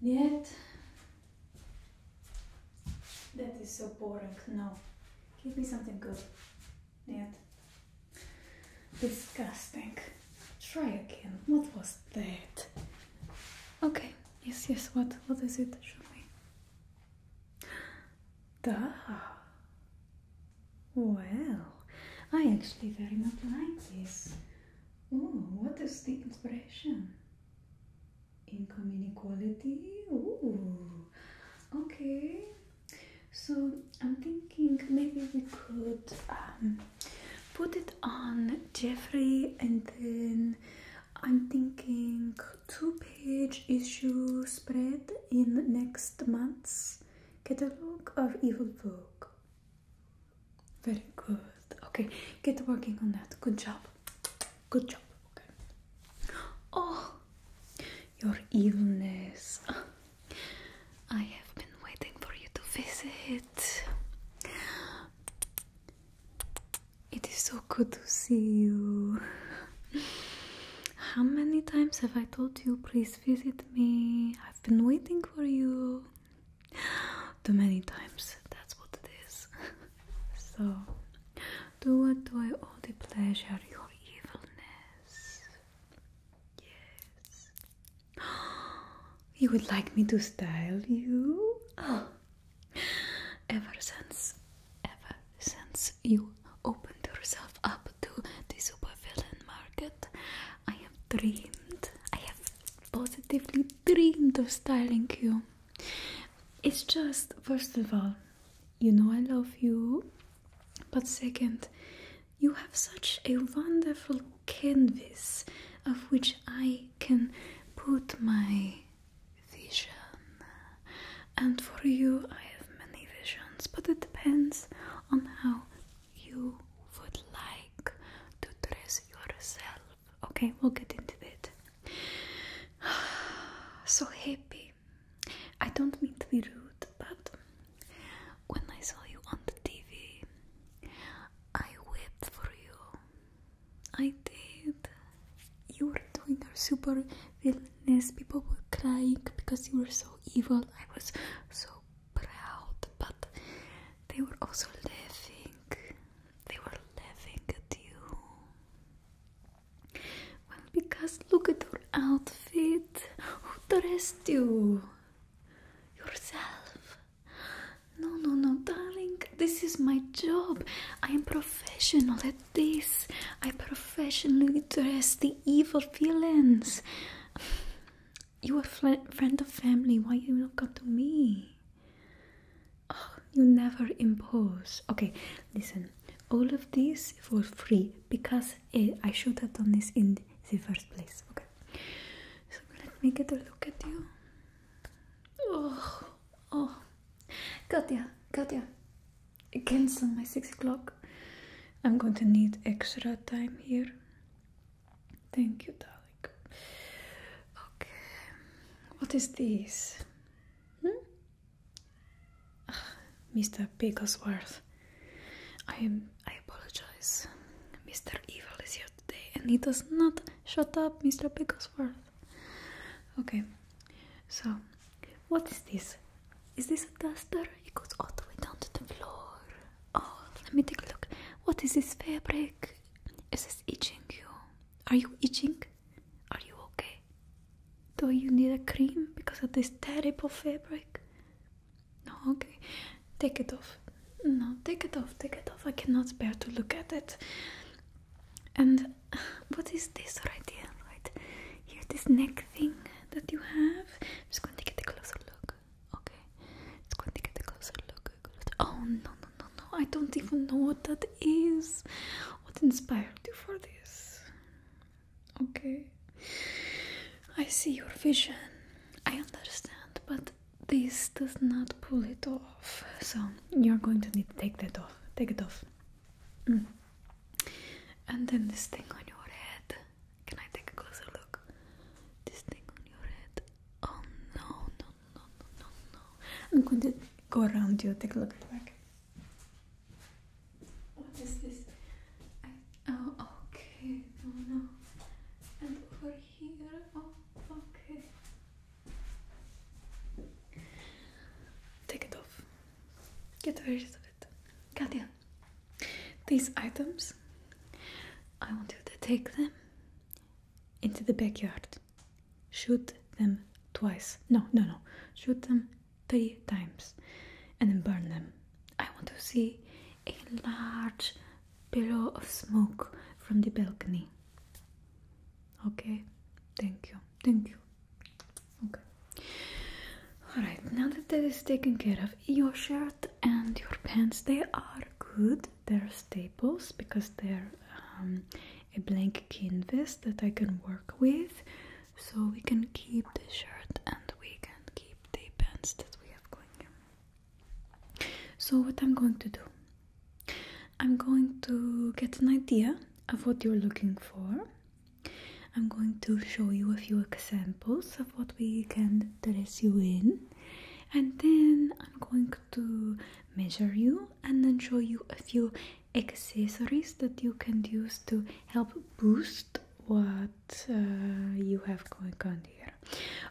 Yet, that is so boring. No. Give me something good. Yet. Disgusting. Try again. What was that? Okay. Yes, yes. What? What is it? Show me. Duh. Well, I actually very much like this. Oh, what is the inspiration? Income inequality. Ooh. Okay. So I'm thinking maybe we could um, put it on Jeffrey, and then I'm thinking two-page issue spread in next month's catalog of Evil Book. Very good. Okay, get working on that. Good job. Good job. Okay. Oh, your illness. I have been waiting for you to visit. It is so good to see you. How many times have I told you, please visit me? I've been waiting for you too many times. That's what it is. so, do what do I owe the pleasure? Your evilness. Yes. You would like me to style you? Ever since, ever since you opened yourself up to the supervillain market, I have dreamed, I have positively dreamed of styling you. It's just, first of all, you know I love you, but second, you have such a wonderful canvas of which I can put my vision. And for you, I have many visions, but it depends on how you would like to dress yourself. Okay, we'll get into that. So happy. I don't mean to be rude, but when I saw you on the TV, I wept for you. I did. You were doing your super villainous. People were crying because you were so evil. I was so proud, but they were also laughing. They were laughing at you. Well, because look at your outfit. Who dressed you? Yourself. No, no, no, darling. This is my job. I am professional at this. I professionally dress the evil villains. You a friend of family. Why you not come to me? you never impose. Okay, listen. All of this for free because eh, I should have done this in the first place. Okay. So let me get a look at you. Oh, oh, Katya, Katya, cancel my six o'clock. I'm going to need extra time here. Thank you, darling. Okay. What is this? Mr. Hmm? Ah, Picklesworth, I I apologize. Mr. Evil is here today and he does not shut up, Mr. Picklesworth. Okay. So what is this? Is this a duster? It goes all the way down to the floor. Oh, let me take a look. What is this fabric? Is this itching you? Are you itching? Are you okay? Do you need a cream because of this terrible fabric? No, okay. Take it off. No, take it off, take it off. I cannot bear to look at it. And what is this right here? Right here, this neck thing that you have. I'm just gonna take a closer look. Okay. It's going to get a closer look. Oh no no no no! I don't even know what that is. What inspired you for this? Okay, I see your vision. I understand, but this does not pull it off. So you're going to need to take that off. Take it off. Mm. And then this thing on your head. Can I take a closer look? This thing on your head. Oh no, no, no, no, no. I'm going to go around you, take a look at the back. What is this? I, oh, okay, no, no. And over here, oh, okay. Take it off. Get rid of it. Katya, these items, I want you to take them into the backyard. Shoot them twice. No, no, no. Shoot them three times and then burn them. I want to see a large pillow of smoke from the balcony. Okay, thank you, thank you. Okay. Alright, now that that is taken care of, your shirt and your pants, they are good they're staples because they're um, a blank canvas that I can work with so we can keep the shirt and we can keep the pants that we have going so what I'm going to do I'm going to get an idea of what you're looking for I'm going to show you a few examples of what we can dress you in and then I'm going to measure you and then show you a few accessories that you can use to help boost what uh, you have going on here.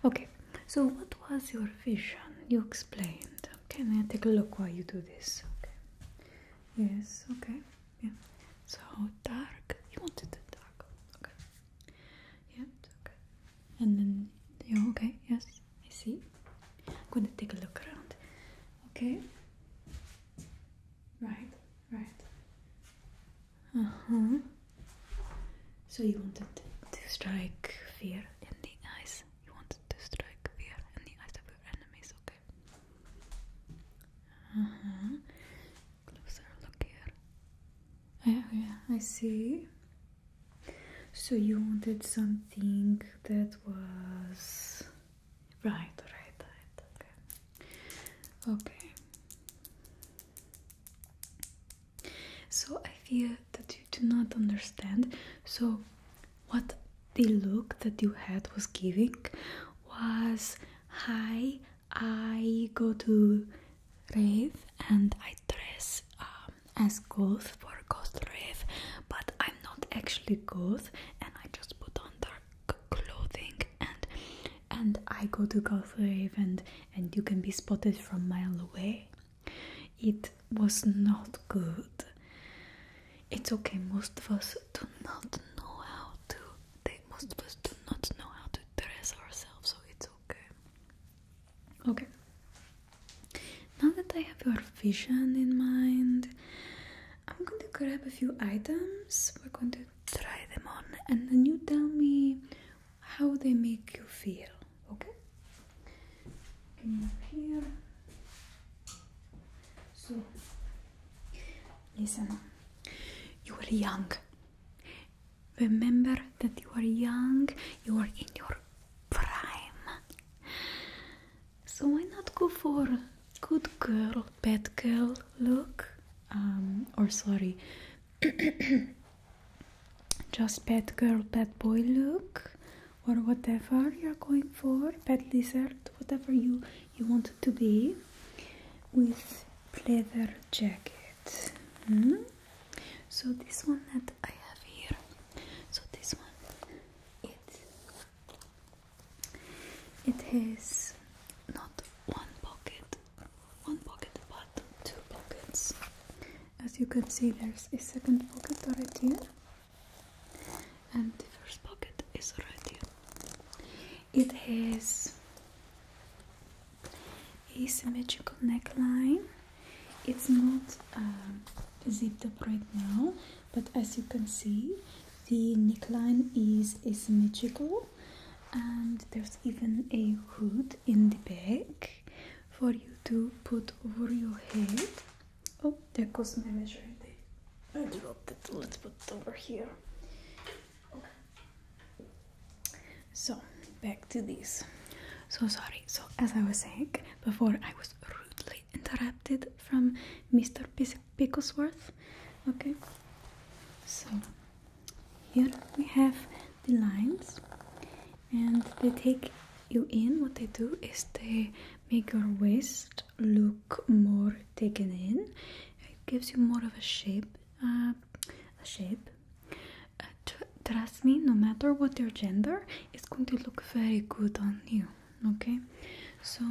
Okay, so what was your vision? You explained. Okay, now take a look while you do this. Okay. Yes, okay. Yeah. So dark. You wanted the dark. Okay. Yeah, okay and then yeah okay yes I see I'm gonna take a look around okay right right uh-huh so you wanted to strike fear in the eyes you wanted to strike fear in the eyes of your enemies okay uh-huh closer look here yeah oh, yeah I see so you wanted something that was right, right, right. Okay. Okay. So I feel that you do not understand. So what the look that you had was giving was hi, I go to rave and I dress um, as goth for goth rave, but I'm not actually goth and I just put on dark clothing and and I go to goth rave and and you can be spotted from mile away. It was not good. It's okay. Most of us do not know how to. They most of us do not know how to dress ourselves, so it's okay. Okay. Now that I have your vision in mind, I'm going to grab a few items. We're going to try them on, and then you tell me how they make you feel. Okay? here. So, listen, you're young Remember that you are young, you are in your prime. So why not go for good girl, bad girl look? Um, or sorry, just bad girl, bad boy look, or whatever you're going for, bad lizard, whatever you, you want to be, with leather jacket. Hmm? So this one that I have here, so this one, it it has not one pocket, one pocket, but two pockets. As you can see, there's a second pocket right here, and the first pocket is right here. It has asymmetrical neckline. It's not um, zipped up right now, but as you can see, the neckline is asymmetrical and there's even a hood in the back for you to put over your head. Oh, there goes my measure. I dropped it. Let's put it over here. So back to this. So sorry. So as I was saying before, I was rudely interrupted from Mr. Picklesworth. Okay. So here we have the lines, and they take you in. What they do is they make your waist look more taken in. It gives you more of a shape, uh, a shape, trust me no matter what your gender it's going to look very good on you okay so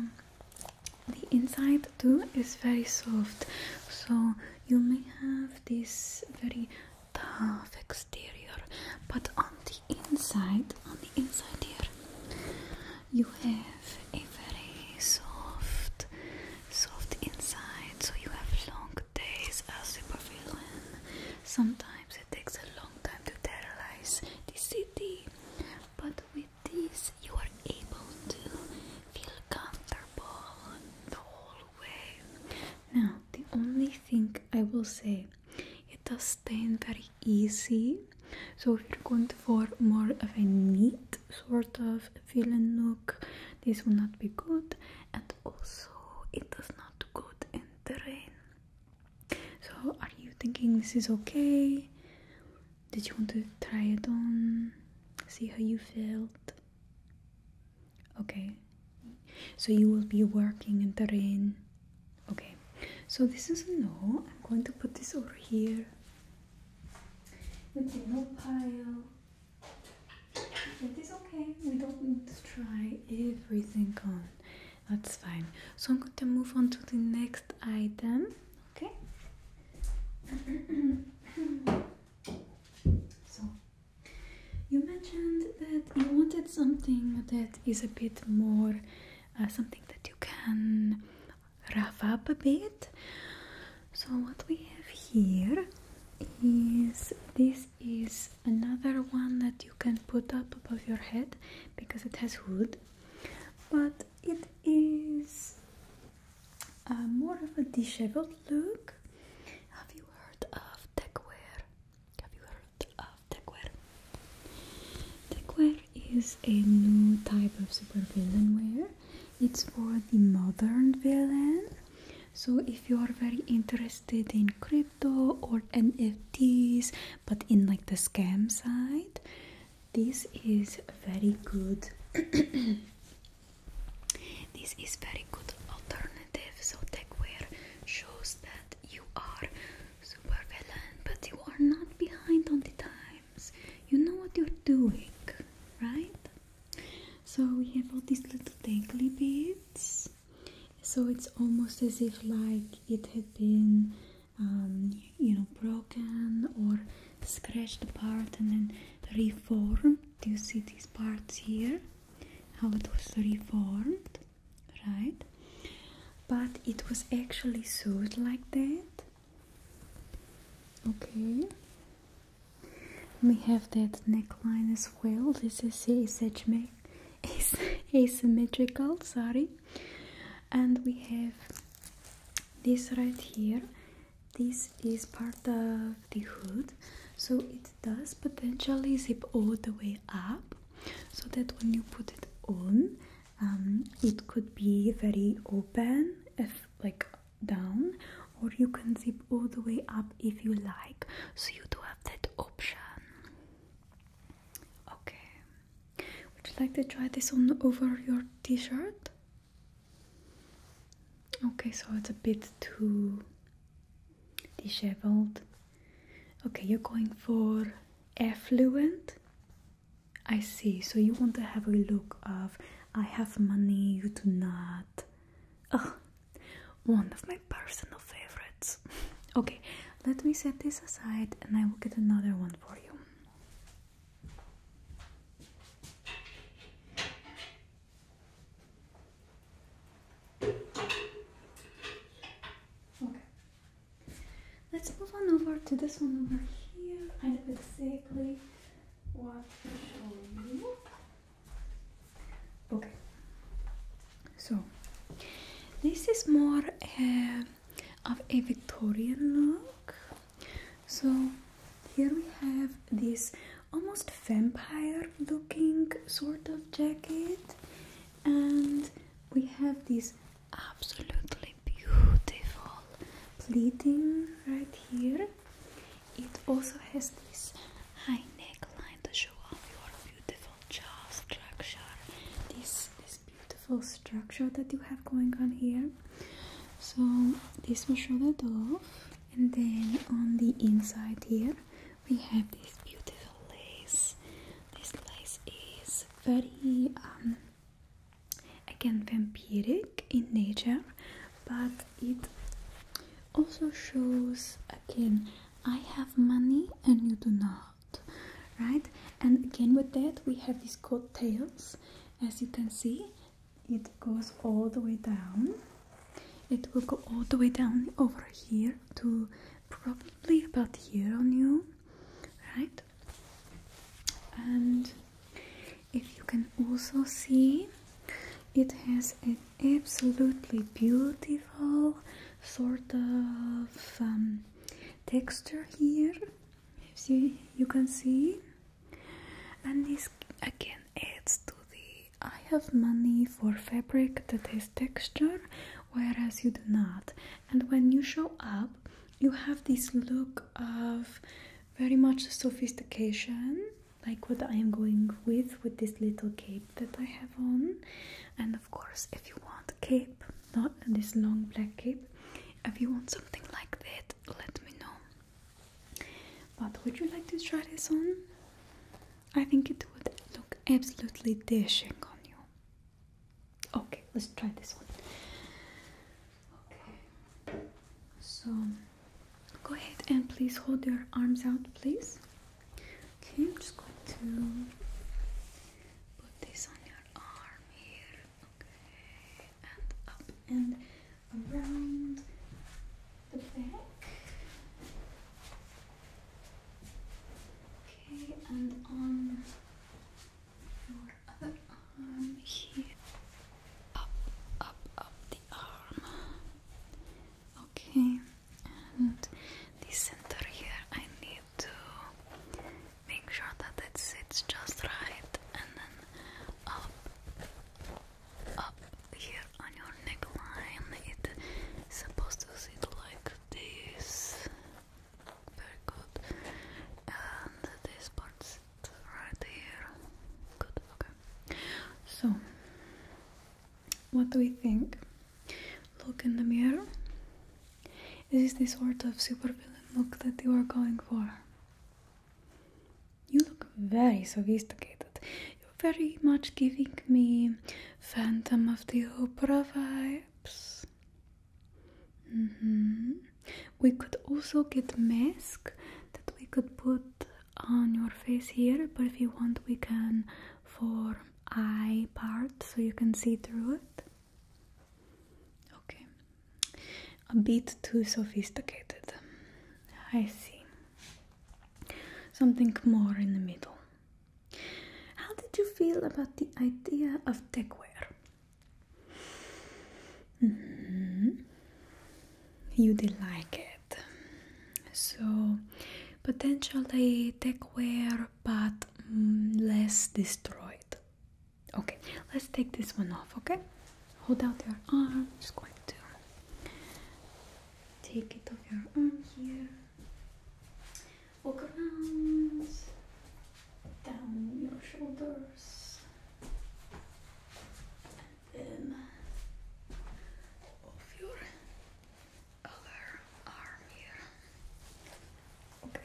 the inside too is very soft so you may have this very tough exterior but on the inside on the inside here you have a very soft soft inside so you have long days as supervillain. Sometimes it takes a long time to terrorize the city, but with this you are able to feel comfortable the whole way. Now, the only thing I will say, it does stain very easy. So if you're going for more of a neat sort of villain look, this will not be good. And also, it does not do good in the So, are you thinking this is okay? Did you want to try it on? See how you felt? Okay. So, you will be working in terrain. Okay. So, this is no. I'm going to put this over here. It's a no pile. It is okay, we don't need to try everything on. That's fine. So I'm going to move on to the next item, okay? so, you mentioned that you wanted something that is a bit more, uh, something that you can rough up a bit. So, what we have here is this is another one that you can put up above your head because it has hood but it is uh, more of a disheveled look have you heard of techwear have you heard of techwear techwear is a new type of supervillain wear it's for the modern villain so if you are very interested in creep or NFTs, but in like the scam side, this is very good. this is very good alternative. So techwear shows that you are super villain, but you are not behind on the times. You know what you're doing, right? So we have all these little dangly beads so it's almost as if like it had been um, you know broken or scratched apart and then reformed do you see these parts here how it was reformed right but it was actually sewed like that okay we have that neckline as well this is edge made as asymmetrical sorry and we have this right here this is part of the hood so it does potentially zip all the way up so that when you put it on um, it could be very open if like down or you can zip all the way up if you like so you do have that option okay would you like to try this on over your t-shirt okay so it's a bit too disheveled okay you're going for affluent i see so you want to have a look of i have money you do not one of my personal favorites. Okay, let me set this aside and I will get another one for you. Okay, let's move on over to this one over here. I did it What to show you? okay so this is more uh, of a victorian look so here we have this almost vampire looking sort of jacket and we have this absolutely beautiful pleating right here it also has this high neckline to show off your beautiful jaw structure this this beautiful structure that you have going on here so this will show the door and then on the inside here we have this beautiful lace this lace is very um again vampiric in nature but it also shows again I have money and you do not, right? And again, with that, we have these coattails. As you can see, it goes all the way down. It will go all the way down over here to probably about here on you, right? And if you can also see, it has an absolutely beautiful sort of um, texture here see you can see and this again adds to the I have money for fabric that has texture whereas you do not and when you show up you have this look of very much sophistication like what I am going with with this little cape that I have on and of course if you want a cape not this long black cape if you want something like that let me know but would you like to try this on? I think it would look absolutely dashing on you okay let's try this one okay so go ahead and please hold your arms out please Okay, I'm just going to put this on your arm here. Okay, and up and around the back. Okay, and on your other arm here. Up, up, up the arm. Okay, and this center here, I need to make sure that it sits just right, and then up, up here on your neckline, it's supposed to sit like this. Very good. And this part sits right here. Good, okay. So, what do we think? Look in the mirror. Is this the sort of supervillain look that you are going for? You look very sophisticated. You're very much giving me Phantom of the Opera vibes. Mm-hmm. We could also get mask that we could put on your face here, but if you want, we can for eye part so you can see through it. Okay, a bit too sophisticated. I see. Something more in the middle. How did you feel about the idea of techwear? Mm You did like it. So potentially take wear but mm, less destroyed. Okay, let's take this one off, okay? Hold out your arm, just going to take it off your arm here. Walk around, down your shoulders, and then off your Okay.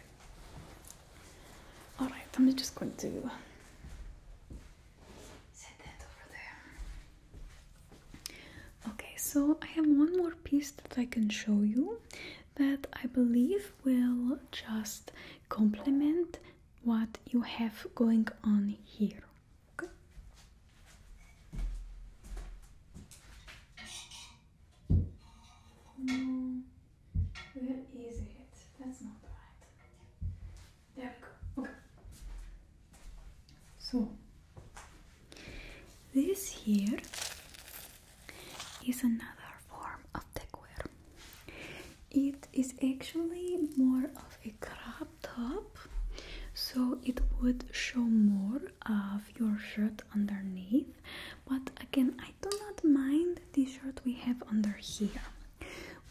All right, I'm just going to set that over there. Okay, so I have one more piece that I can show you that I believe will just complement what you have going on here. Okay. Oh, no, where is it? That's not right. There we go. Okay. So this here is another form of the techwear. It is actually more of a crop top, so it would show more of your shirt underneath but again I do not mind the shirt we have under here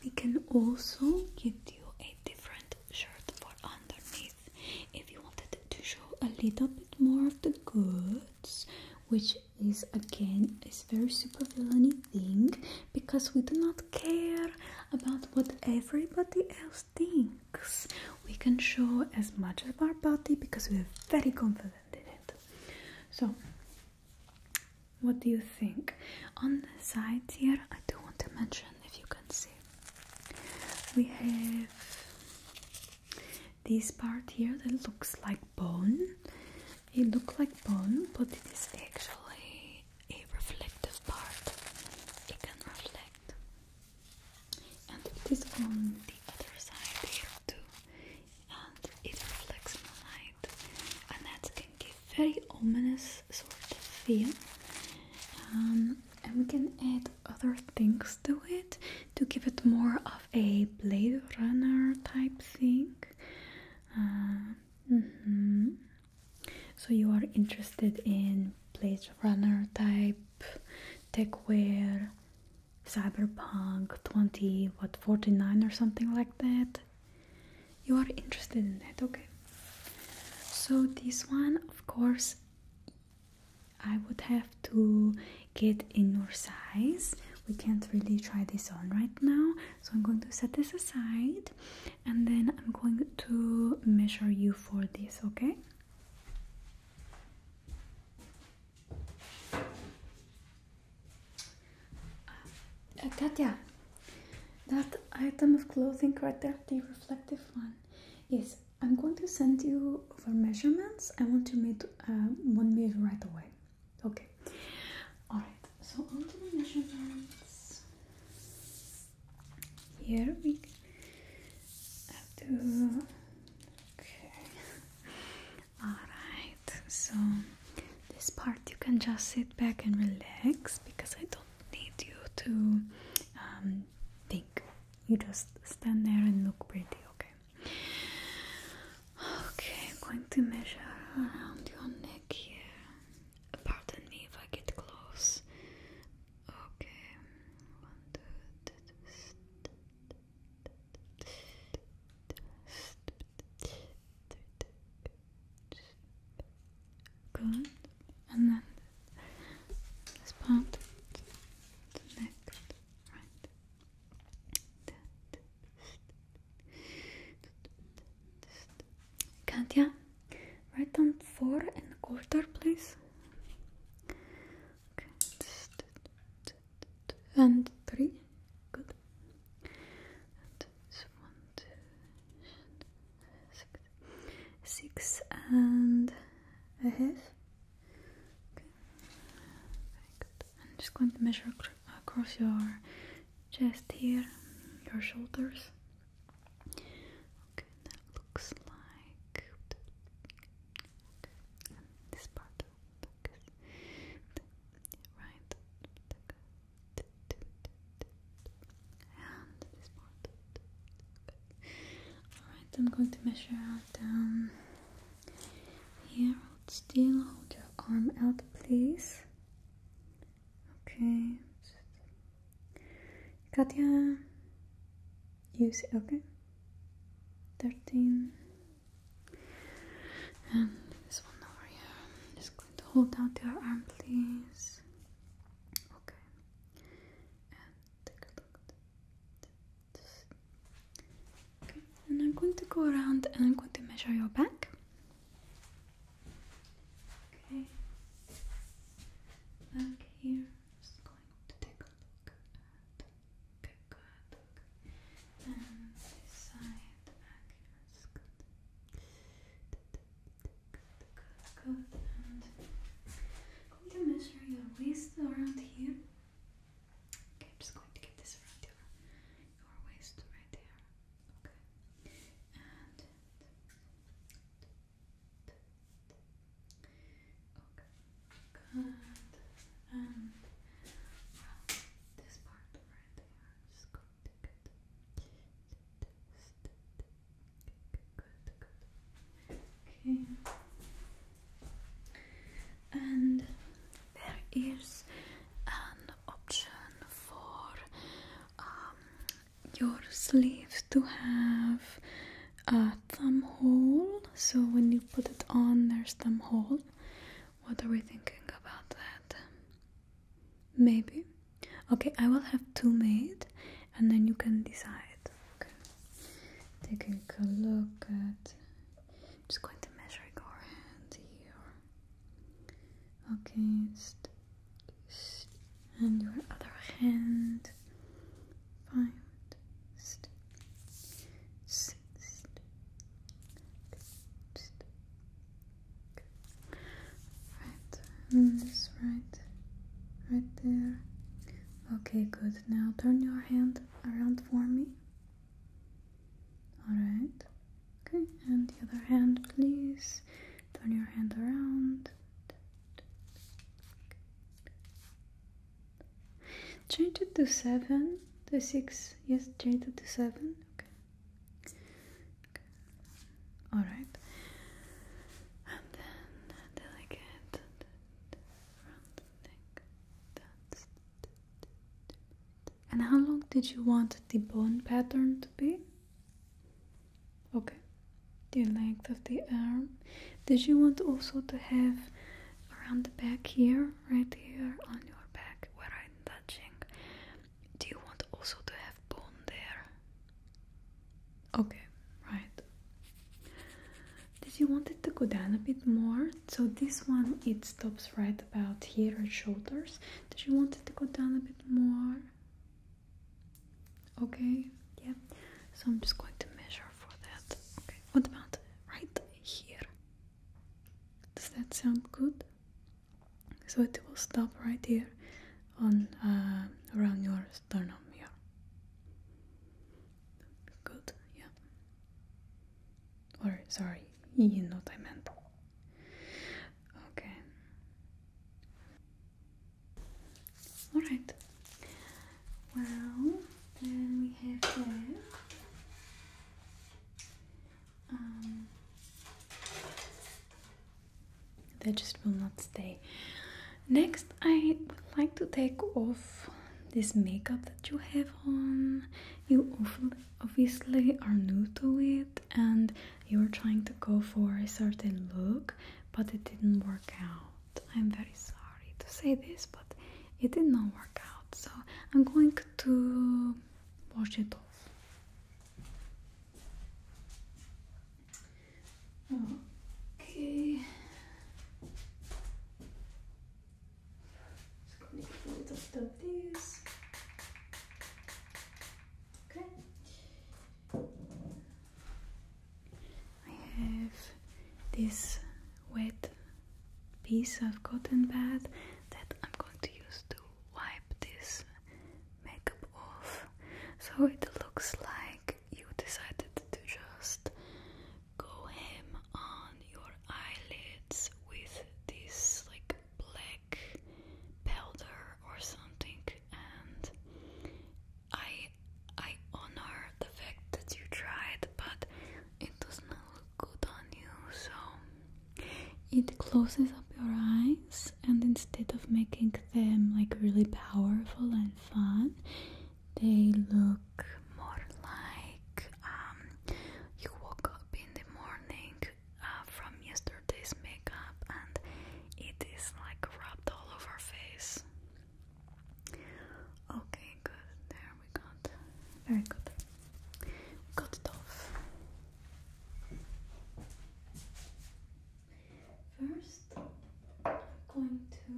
we can also give you a different shirt for underneath if you wanted to show a little bit more of the goods which is again a very super villainy thing because we do not care about what everybody else we can show as much of our body because we're very confident in it so what do you think on the side here i do want to mention if you can see we have this part here that looks like bone it looks like bone but it is actually a reflective part it can reflect and it is on the other side here too and it reflects light, and that can give very ominous sort of feel um, and we can add other things to it to give it more of a Blade Runner type thing uh, mm-hmm. so you are interested in Blade Runner type techwear, cyberpunk 20, what 49 or something like that. You are interested in that, okay? So, this one, of course, I would have to get in your size. We can't really try this on right now, so I'm going to set this aside and then I'm going to measure you for this, okay? Uh, Katya, that item of clothing right there, the reflective one, yes, I'm going to send you for measurements. I want to make uh, one made right away. Okay. All right. So on to the measurements here we have to okay all right so this part you can just sit back and relax because I don't need you to um, think you just stand there and look pretty okay okay I'm going to measure around your neck here pardon me if I get close Okay, one, two, Good, and then this part, the neck, right. Katya, write down four and a quarter, please. Okay. And three. Good. Six I'm just going to measure across your chest here, your shoulders. Okay, that looks like. this part right. And this part. Alright, I'm going to measure out down here. Hold still, hold your arm out, please. Okay. Katya, use okay 13 and this one over here I'm just going to hold out your arm please okay and okay and I'm going to go around and I'm going to measure your back okay back here just going to take a look at okay, good, and this side okay, that's going to measure your waist around here okay, I'm just going to get this around your, waist right there okay, Okay, good. And well, this part right there, just going good, good. Okay. And there is an option for um, your sleeve to have a thumb hole so when you put it on there's thumb hole what are we thinking about that maybe okay i will have two made and then you can decide okay taking a look at just going to measure your hand here okay and your other hand five six six right this right right there okay good now turn your hand around for me all right okay and the other hand please turn your hand around Change it to seven, to six. Yes, change it to seven. Okay. All right. And how long did you want the bone pattern to be? okay the length of the arm did you want also to have around the back here right here on your back where i'm touching do you want also to have bone there okay right did you want it to go down a bit more so this one it stops right about here at shoulders did you want it to go down a bit more Okay, yeah. So I'm just going to measure for that. Okay, what about right here? Does that sound good? So it will stop right here on uh, around your sternum here. Good, yeah. Or sorry, you know what I meant. Okay. Alright. Well, then we have there. Um, they just will not stay. Next, I would like to take off this makeup that you have on. You obviously are new to it and you are trying to go for a certain look, but it didn't work out. I'm very sorry to say this, but it did not work out, so I'm going to wash it off. Okay. Just gonna get rid of this. Okay. I have this wet piece of cotton pad that I'm going to use to wipe this makeup off so it looks like you decided to just go hem on your eyelids with this like black powder or something and I I honor the fact that you tried, but it does not look good on you, so it closes up your eyes and instead of making them like really powerful and fun, they look more like um, you woke up in the morning uh, from yesterday's makeup and it is like rubbed all over face. Okay, good. There we got. Very good. We got it off. First, I'm going to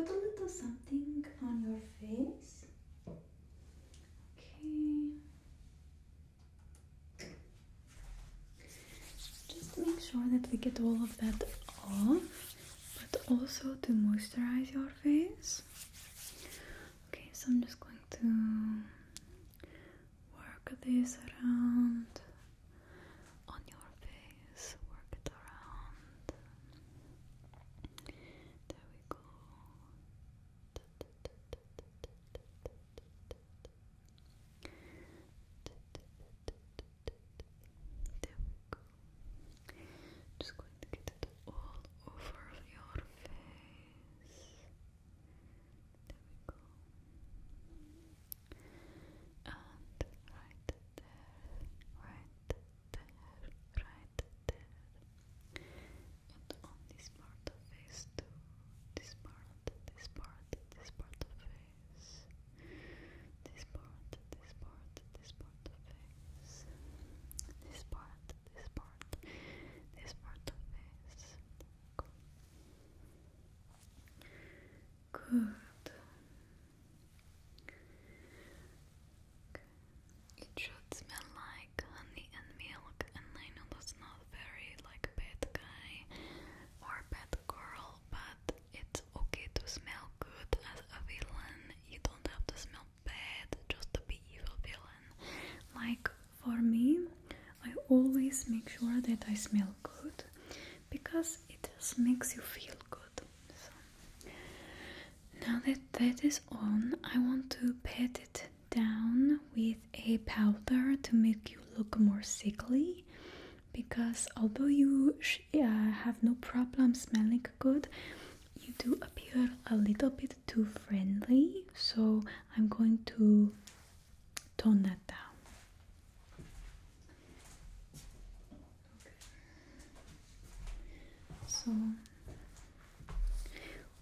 put a little something on your face. Okay. Just make sure that we get all of that off, but also to moisturize your face. Okay, so I'm just going to work this around on your face, work it around. There we go. There we Just going to get all over your face. And right there, right there, right there. And on this part of face too. This part, this part, this part of this part, this part, this part of face. This part, this part, this part of face. Good. It should smell like honey and milk, and I does not very like bad guy or bad girl, but it's okay to smell good as a villain. You don't have to smell bad just to be evil villain. Like for me, I always make sure that I smell good because it just makes you feel good. So now that that is on, I want to pat it down with a powder to make you look more sickly because although you uh, have no problem smelling good, you do appear a little bit too friendly, so I'm going to tone that down. So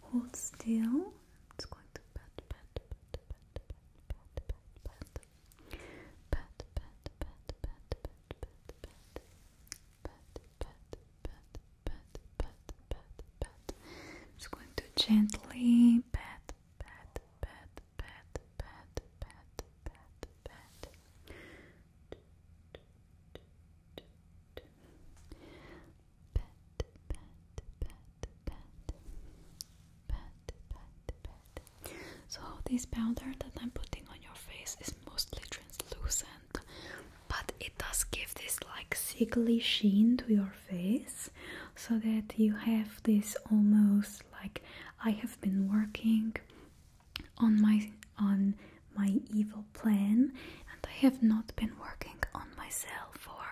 hold still. It's going to pat, pat, pat, pat, pat, pat, pat, pat, pat, pat, pat, pat, pat, pat, pat, pat, pat, pat, pat, pat, pat, pat, pat. I'm just going to gently pat, pat, pat, pat, pat, pat, pat, pat. Pat, pat, pat, pat, pat, pat, pat, so this powder that I'm putting on your face is mostly translucent, but it does give this like sickly sheen to your face, so that you have this almost like I have been working on my on my evil plan, and I have not been working on myself for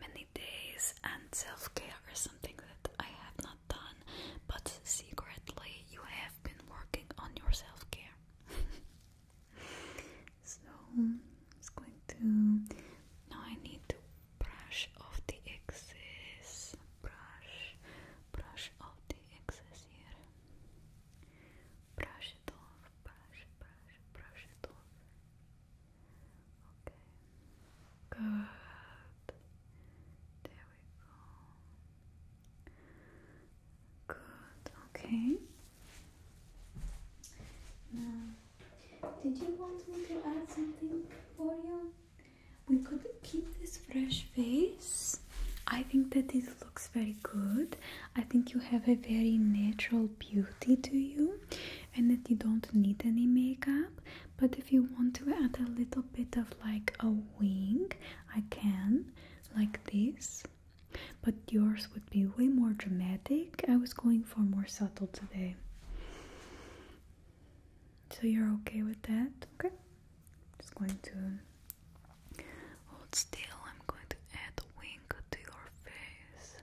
many days, and self care is that I have not done, but secretly you have been working on your self care. so i going to. Now I need to brush off the excess. Brush, brush off the excess here. Brush it off, brush, brush, brush it off. Okay. Good. There we go. Good. Okay. Now, did you want me to add something for you? We could keep this fresh face. I think that this looks very good. I think you have a very natural beauty to you and that you don't need any makeup but if you want to add a little bit of like a wing I can like this but yours would be way more dramatic I was going for more subtle today so you're okay with that okay just going to hold still I'm going to add a wing to your face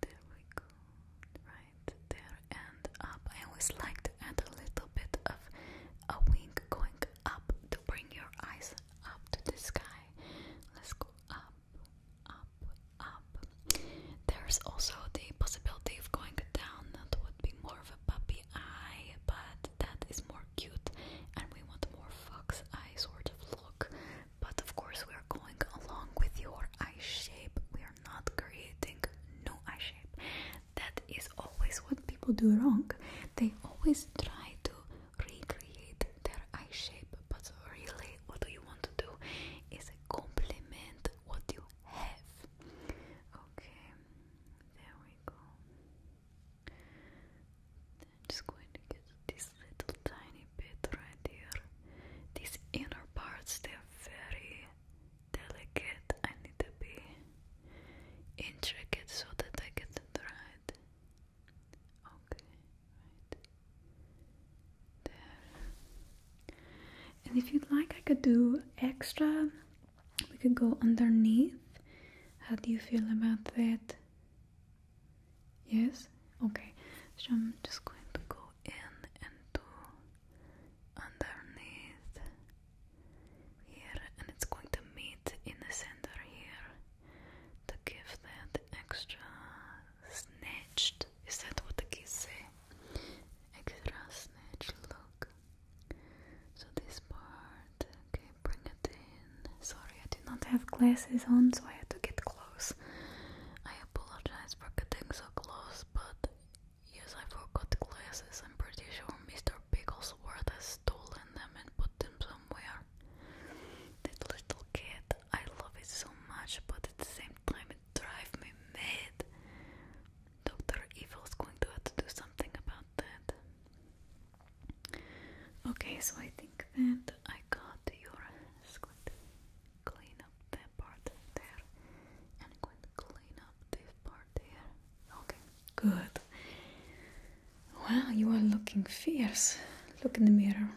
there we go right there and up. I always like to add a little bit of a wing going up to bring your eyes up to the sky. Let's go up, up, up. There's also the possibility of going down. That would be more of a puppy eye, but that is more cute, and we want more fox eye sort of look. But of course, we're going along with your eye shape. We are not creating new eye shape. That is always what people do wrong. They always try to recreate their eye shape, but really, what you want to do is complement what you have. Okay, there we go. just going to get this little tiny bit right here. These inner parts, they're very delicate, I need to be intricate so that I get it right. Okay, There. And if you'd like, I could do extra. We could go underneath. How do you feel about that? Yes? Okay. So I'm just going to go in and do underneath here and it's going to meet in the center here to give that extra snatched is that what the kids say? Extra snatched look. So this part, okay, bring it in. Sorry, I did not have glasses on, so I had to get close. I apologize for getting so close, but Yes, I forgot glasses. I'm pretty sure Mr. Bigglesworth has stolen them and put them somewhere. That little kid, I love it so much, but at the same time it drives me mad. Dr. Evil's going to have to do something about that. Okay, so I think that I got your squint clean up that part there and clean up this part here. Okay, good. Wow, you are looking fierce. Look in the mirror.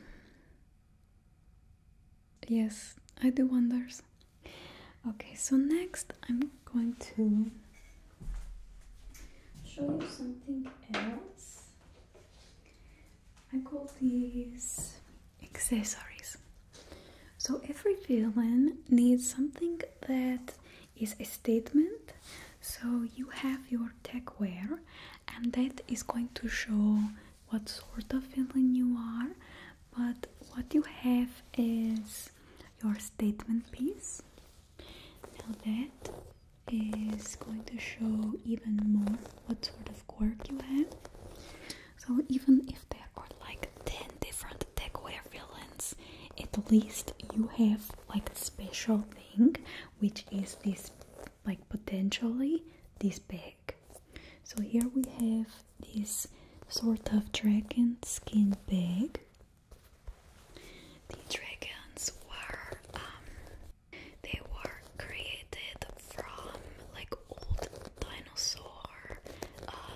Yes, I do wonders. Okay, so next I'm going to show you something else. I call these accessories. So every villain needs something that is a statement. So you have your tech wear, and that is going to show what sort of villain you are. But what you have is your statement piece. Now that is going to show even more what sort of quirk you have. So even if there are like 10 different decor villains, at least you have like a special thing, which is this like potentially this bag. So here we have this sort of dragon skin bag. The dragons were um, they were created from like old dinosaur uh,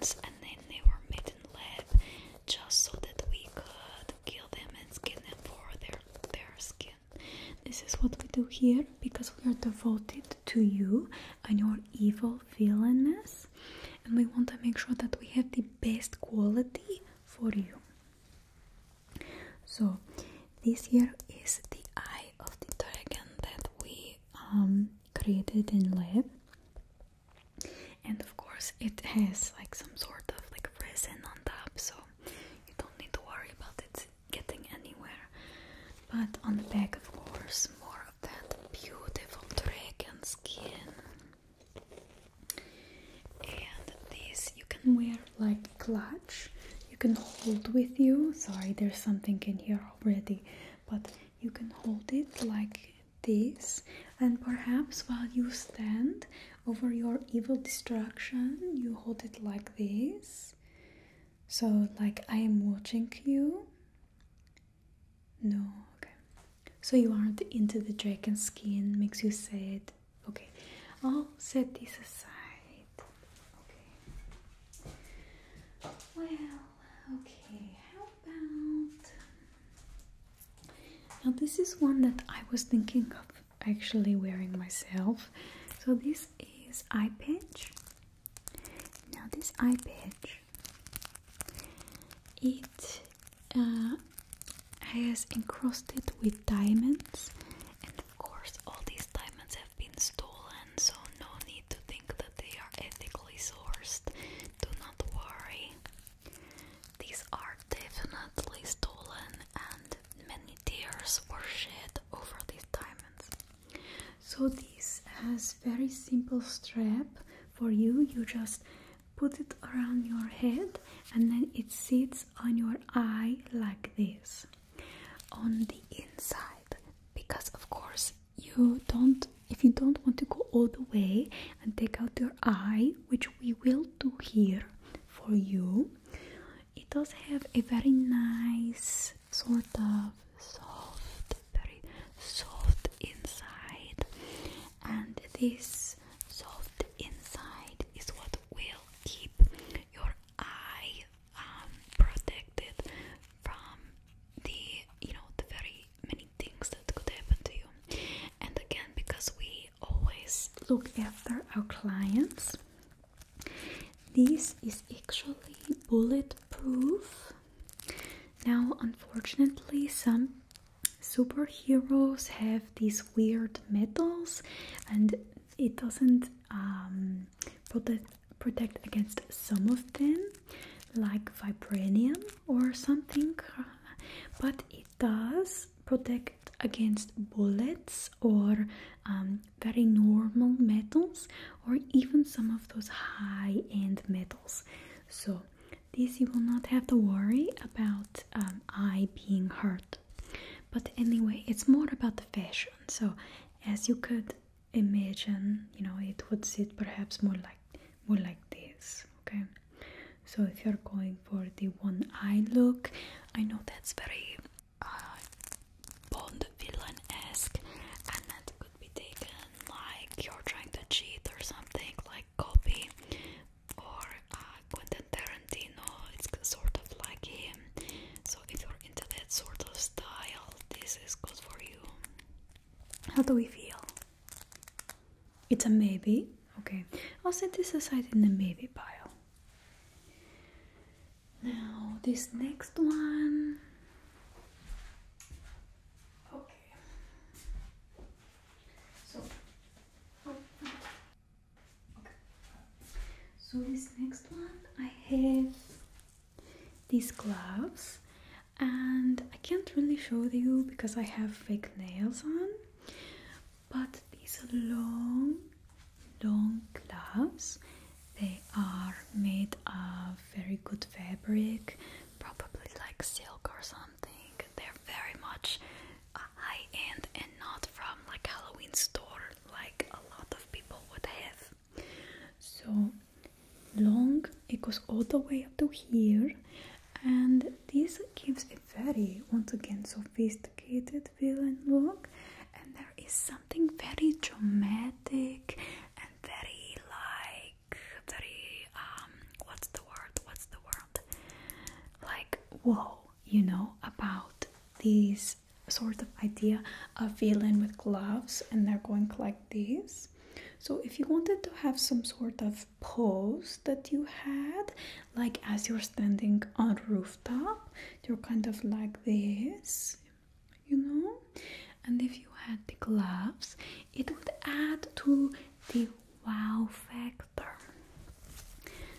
and then they were made in lab just so that we could kill them and skin them for their, their skin. This is what we do here because we are devoted to you and your evil villainess, and we want to make sure that we have the best quality for you. So, this here is the eye of the dragon that we um, created in lab and of course it has like some sort of like resin on top so you don't need to worry about it getting anywhere but on the back of course more of that beautiful drag and skin and this you can wear like clutch you can hold with you sorry there's something in here already but you can hold it like this and perhaps while you stand over your evil destruction you hold it like this so like i am watching you no okay so you aren't into the dragon skin makes you sad okay i'll set this aside Okay. Well, okay. How about. Now, this is one that I was thinking of actually wearing myself. So, this is eye patch. Now, this eye patch, it uh, has encrusted with diamonds, and of course, all these diamonds have been stolen, so no need to think that they are ethically sourced. Do not worry. These are definitely stolen, and many tears were shed over these diamonds. So, this has very simple strap for you. You just put it around your head, and then it sits on your eye like this on the inside because of course you don't if you don't want to go all the way and take out your eye which we will do here for you it does have a very nice sort of soft very soft inside and this soft inside is what will keep your eye um, protected from the you know the very many things that could happen to you. And again, because we always look after our clients, this is actually bulletproof. Now, unfortunately, some superheroes have these weird metals, and it doesn't um, protect, against some of them, like vibranium or something, but it does protect against bullets or um, very normal metals or even some of those high end metals. So, this you will not have to worry about um, I being hurt. But anyway, it's more about the fashion. So, as you could imagine you know it would sit perhaps more like more like this okay so if you're going for the one eye look i know that's very uh, bond villain-esque and that could be taken like you're trying to cheat or something like copy or uh, Quentin Tarantino it's sort of like him so if you're into that sort of style, this is good for you. How do we feel? It's a maybe. Okay, I'll set this aside in the maybe pile. Now, this next one. Okay. So, okay. so this next one I have these gloves and I can't really show you because I have fake nails on but these are long long gloves they are made of very good fabric probably like silk or something they're very much uh, high-end and not from like Halloween store like a lot of people would have so long it goes all the way up to here and this gives a very once again sophisticated villain look and there is something very dramatic and very like very um what's the word what's the word like whoa you know about these sort of idea of violin with gloves and they're going like this so if you wanted to have some sort of pose that you had like as you're standing on rooftop you're kind of like this you know and if you had the gloves it would add to the wow factor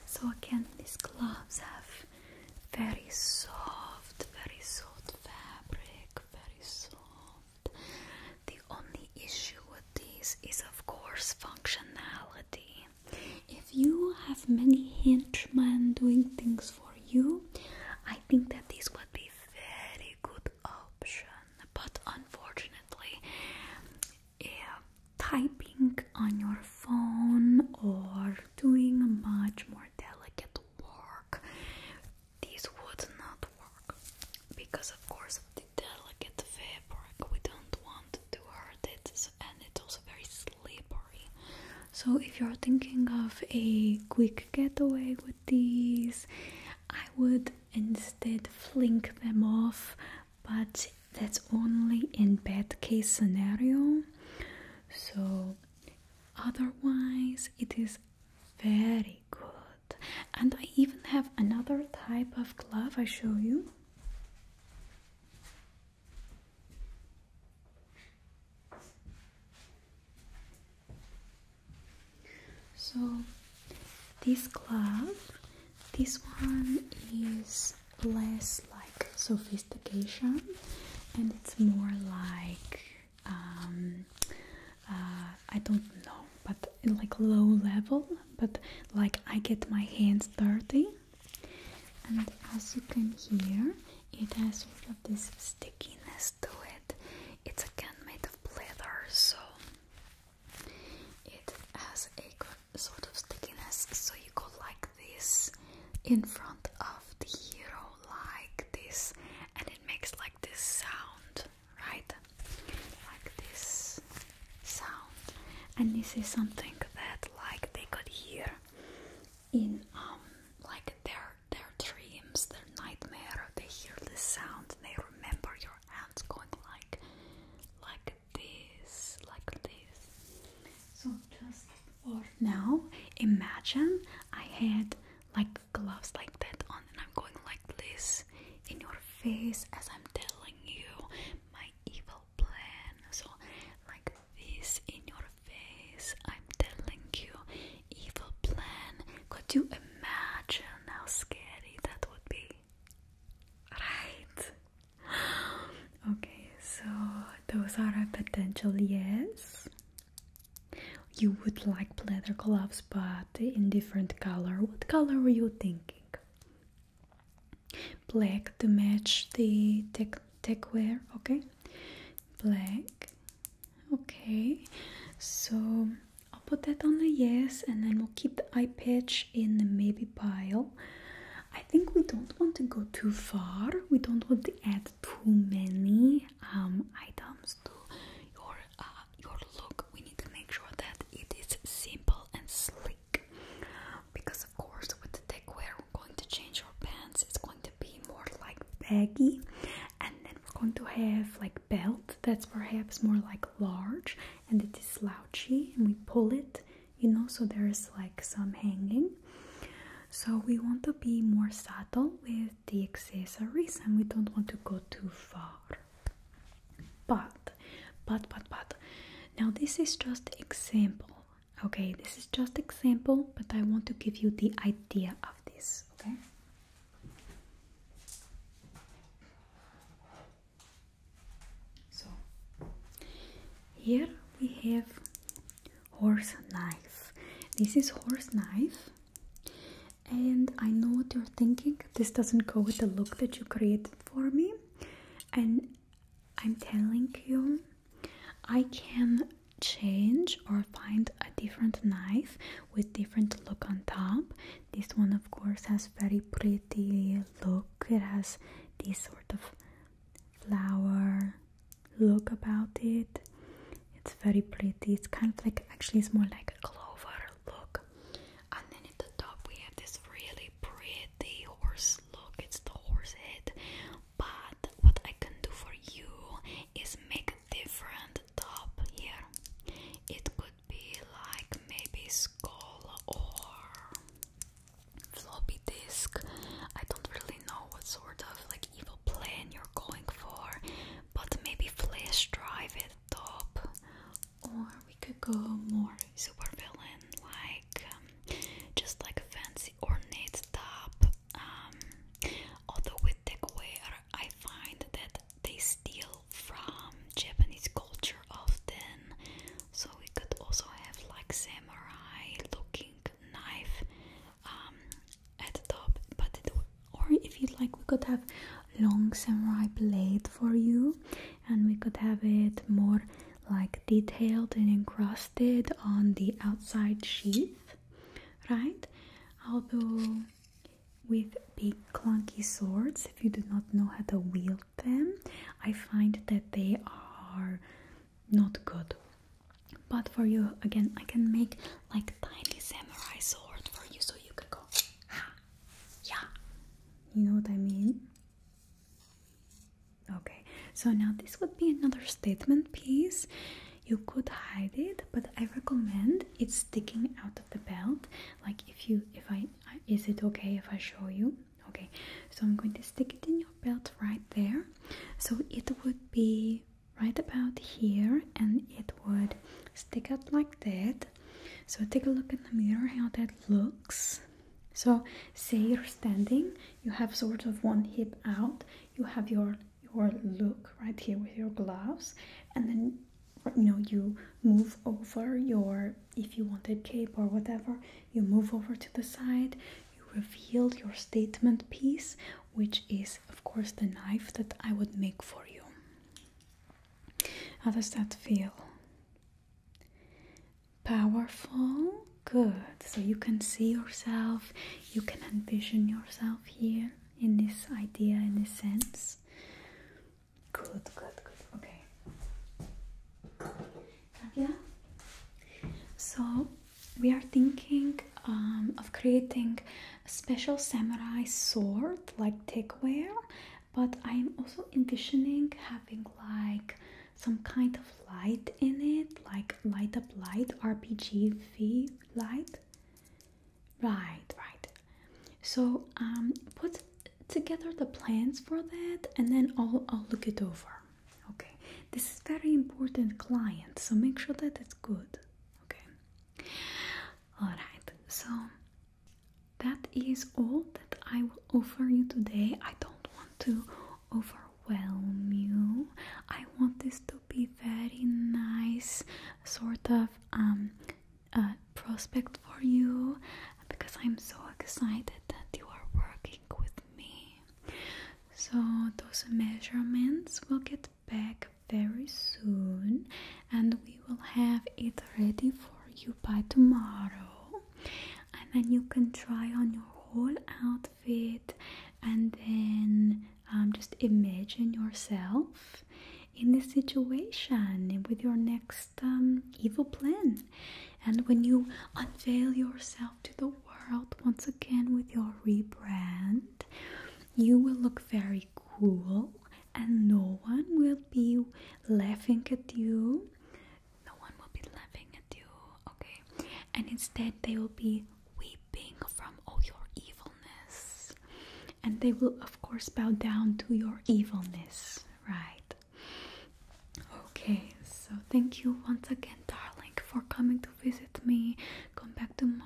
so again these gloves have very soft, very soft fabric, very soft. The only issue with this is, of course, functionality. If you have many henchmen doing things for you, I think that this would be very good option. But unfortunately, yeah, typing on your phone or doing much more delicate work. This would not work because, of course, the delicate fabric. We don't want to hurt it, and it's also very slippery. So, if you're thinking of a quick getaway with these, I would instead fling them off, but that's only in bad case scenario. So, Otherwise, it is very good. And I even have another type of glove I show you. So this glove, this one is less like sophistication and it's more like um, uh, I don't know, but like low level, but like I get my hands dirty. And as you can hear, it has sort of this stickiness to it. It's a gun made of leather, so it has a sort of stickiness. So you go like this in front of the hero, like this, and it makes like this sound, right? Like this sound, and this is something that like they could hear in um like their their dreams, their nightmare. They hear this sound, they remember your hands going like like this, like this. So just for now, imagine I had like gloves like that on and I'm going like this in your face as I'm telling you my evil plan so like this in your face I'm telling you evil plan could you imagine how scary that would be right okay so those are a potential yes you would like leather gloves, but in different color. What color are you thinking? Black to match the tech tech wear, okay? Black. Okay, so I'll put that on the yes, and then we'll keep the eye patch in the maybe pile. I think we don't want to go too far. We don't want to add too many um, items to your uh, your look. We need to make sure that it is simple and sleek, because of course with the tech wear we're going to change our pants. It's going to be more like baggy, and then we're going to have like belt that's perhaps more like large, and it is slouchy, and we pull it, you know, so there's like some hanging. So we want to be more subtle with the accessories and we don't want to go too far. But, but, but, but, now this is just example. Okay, this is just example, but I want to give you the idea of this, okay? So, here we have horse knife. This is horse knife. And I know what you're thinking. This doesn't go with the look that you created for me. And I'm telling you, I can change or find a different knife with different look on top. This one of course has very pretty look. It has this sort of flower look about it. It's very pretty. It's kind of like actually it's more like a clover look. And then at the top we have this really pretty horse look. It's the horse head. But what I can do for you is make a different top here. It could be like maybe skull or floppy disk. I don't really know what sort of like evil plan you're going for, but maybe flash drive at top. Or we could go more super villain, like um, just like a fancy ornate top. Um, although with deckware, I find that they steal from Japanese culture often, so we could also have like samurai looking knife. Um, at the top but it, or if you'd like we could have long samurai blade for you and we could have it more like detailed and encrusted on the outside sheath right although with big clunky swords if you do not know how to wield them i find that they are not good but for you, again, I can make like tiny samurai sword for you so you can go yeah. You know what I mean? Okay, so now this would be another statement piece. You could hide it, but I recommend it sticking out of the belt. Like if you, if I, is it okay if I show you? Okay, so I'm going to stick it in your belt right there. So it would be right about here and it would stick out like that so take a look in the mirror how that looks so say you're standing you have sort of one hip out you have your your look right here with your gloves and then you know you move over your if you wanted cape or whatever you move over to the side you reveal your statement piece which is of course the knife that I would make for you. How does that feel? Powerful? Good. So you can see yourself, you can envision yourself here in this idea, in this sense. Good, good, good. Okay. Nadia? So we are thinking um, of creating a special samurai sword like techware, but i am also envisioning having like some kind of light in it like light up light rpgv light right right so um, put together the plans for that and then i'll i'll look it over okay this is very important client so make sure that it's good Okay. Alright, so that is all that I will offer you today. I don't want to overwhelm you. I want this to be very nice sort of um prospect for you because I'm so excited that you are working with me. So those measurements will get back very soon and we will have it ready for you by tomorrow and then you can try on your whole outfit and then um, just imagine yourself in this situation with your next um, evil plan and when you unveil yourself to the world once again with your rebrand you will look very cool and no one will be laughing at you. No one will be laughing at you, okay? And instead, they will be weeping from all your evilness. And they will, of course, bow down to your evilness, right? Okay, so thank you once again, darling, for coming to visit me. Come back tomorrow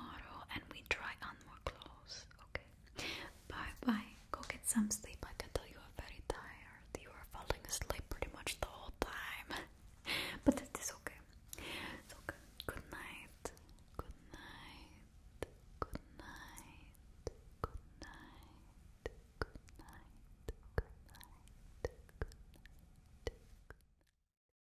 and we try on more clothes. Okay. Bye bye. Go get some sleep. I can tell you are very tired. You are falling asleep pretty much the whole time. but that is okay. okay. Good night. Good night. Good night. Good night. Good night. Good night. Good night.